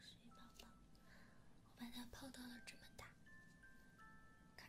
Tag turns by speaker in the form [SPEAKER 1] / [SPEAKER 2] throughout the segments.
[SPEAKER 1] 水宝宝，我把它泡到了这么大，看。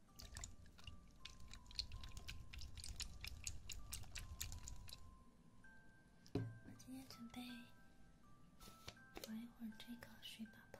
[SPEAKER 1] 我今天准备玩一会儿这个水宝宝，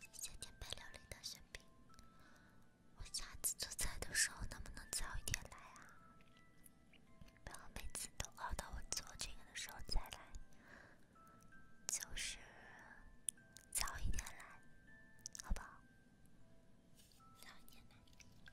[SPEAKER 1] 一些天悲流泪的血冰，我下次做菜的时候能不能早一点来啊？不要每次都熬到我做这个的时候再来，就是早一点来，好不好？早一点来。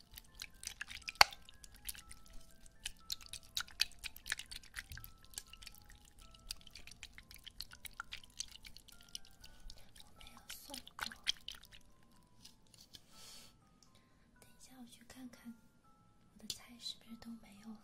[SPEAKER 1] 我没有送过。等一下，我去看看我的菜是不是都没有了。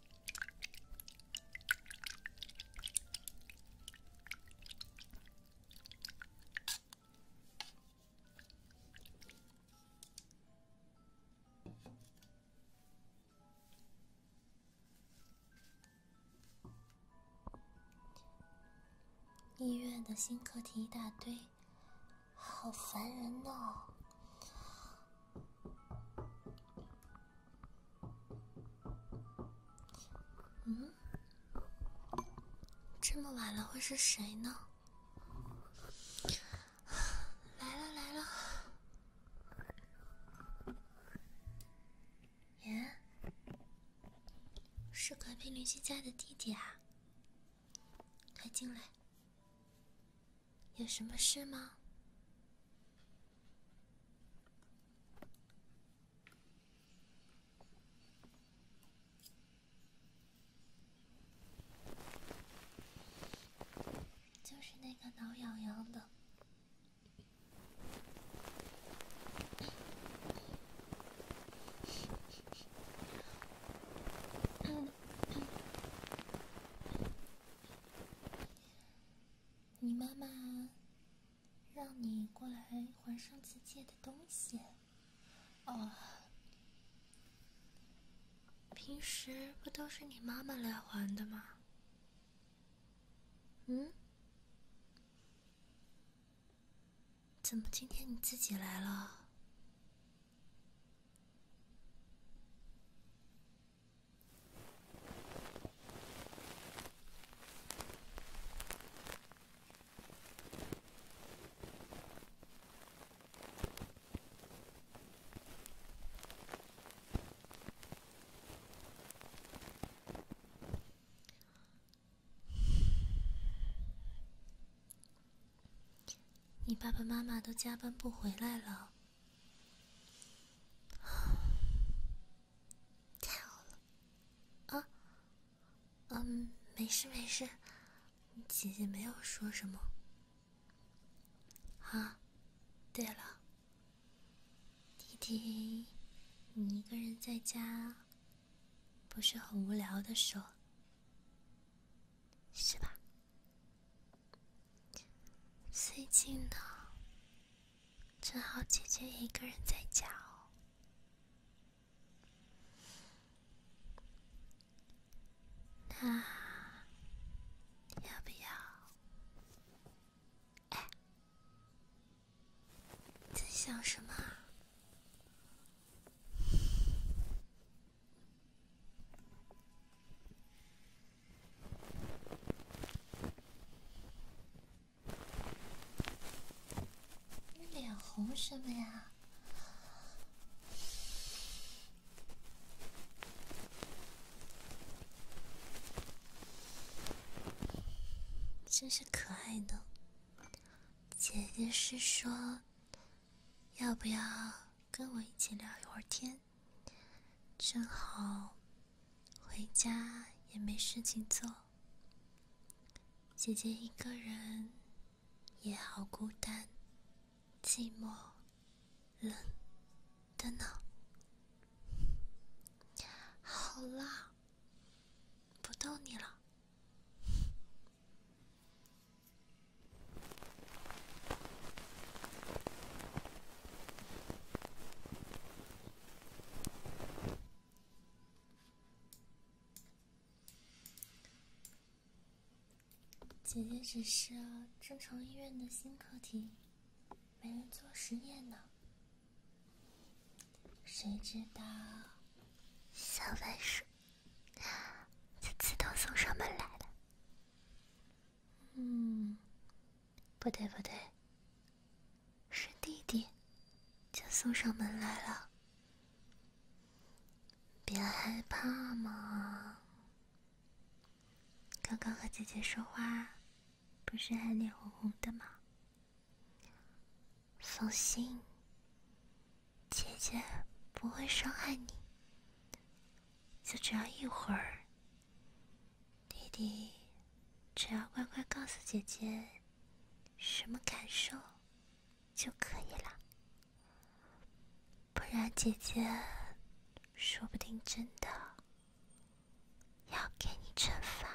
[SPEAKER 1] 医院的新课题一大堆，好烦人呢。嗯，这么晚了会是谁呢？来了来了，耶！是隔壁邻居家的弟弟啊，快进来。有什么事吗？就是那个挠痒痒的。你妈妈让你过来还上次借的东西，哦，平时不都是你妈妈来还的吗？嗯？怎么今天你自己来了？你爸爸妈妈都加班不回来了。太好了，啊，嗯，没事没事，姐姐没有说什么。啊，对了，弟弟，你一个人在家不是很无聊的说，是吧？最近呢，正好姐姐一个人在家哦，那要不要？哎，在想什么？你脸红什么呀？真是可爱呢。姐姐，是说要不要跟我一起聊一会儿天？正好，回家也没事情做。姐姐一个人也好孤单、寂寞、冷的呢。好啦，不逗你了。姐姐只是正常医院的新课题，没人做实验呢。谁知道小白鼠就次都送上门来了。嗯，不对不对，是弟弟，就送上门来了。别害怕嘛，刚刚和姐姐说话，不是还脸红红的吗？放心，姐姐不会伤害你。就只要一会儿，弟弟只要乖乖告诉姐姐什么感受，就可以了，不然姐姐说不定真的要给你惩罚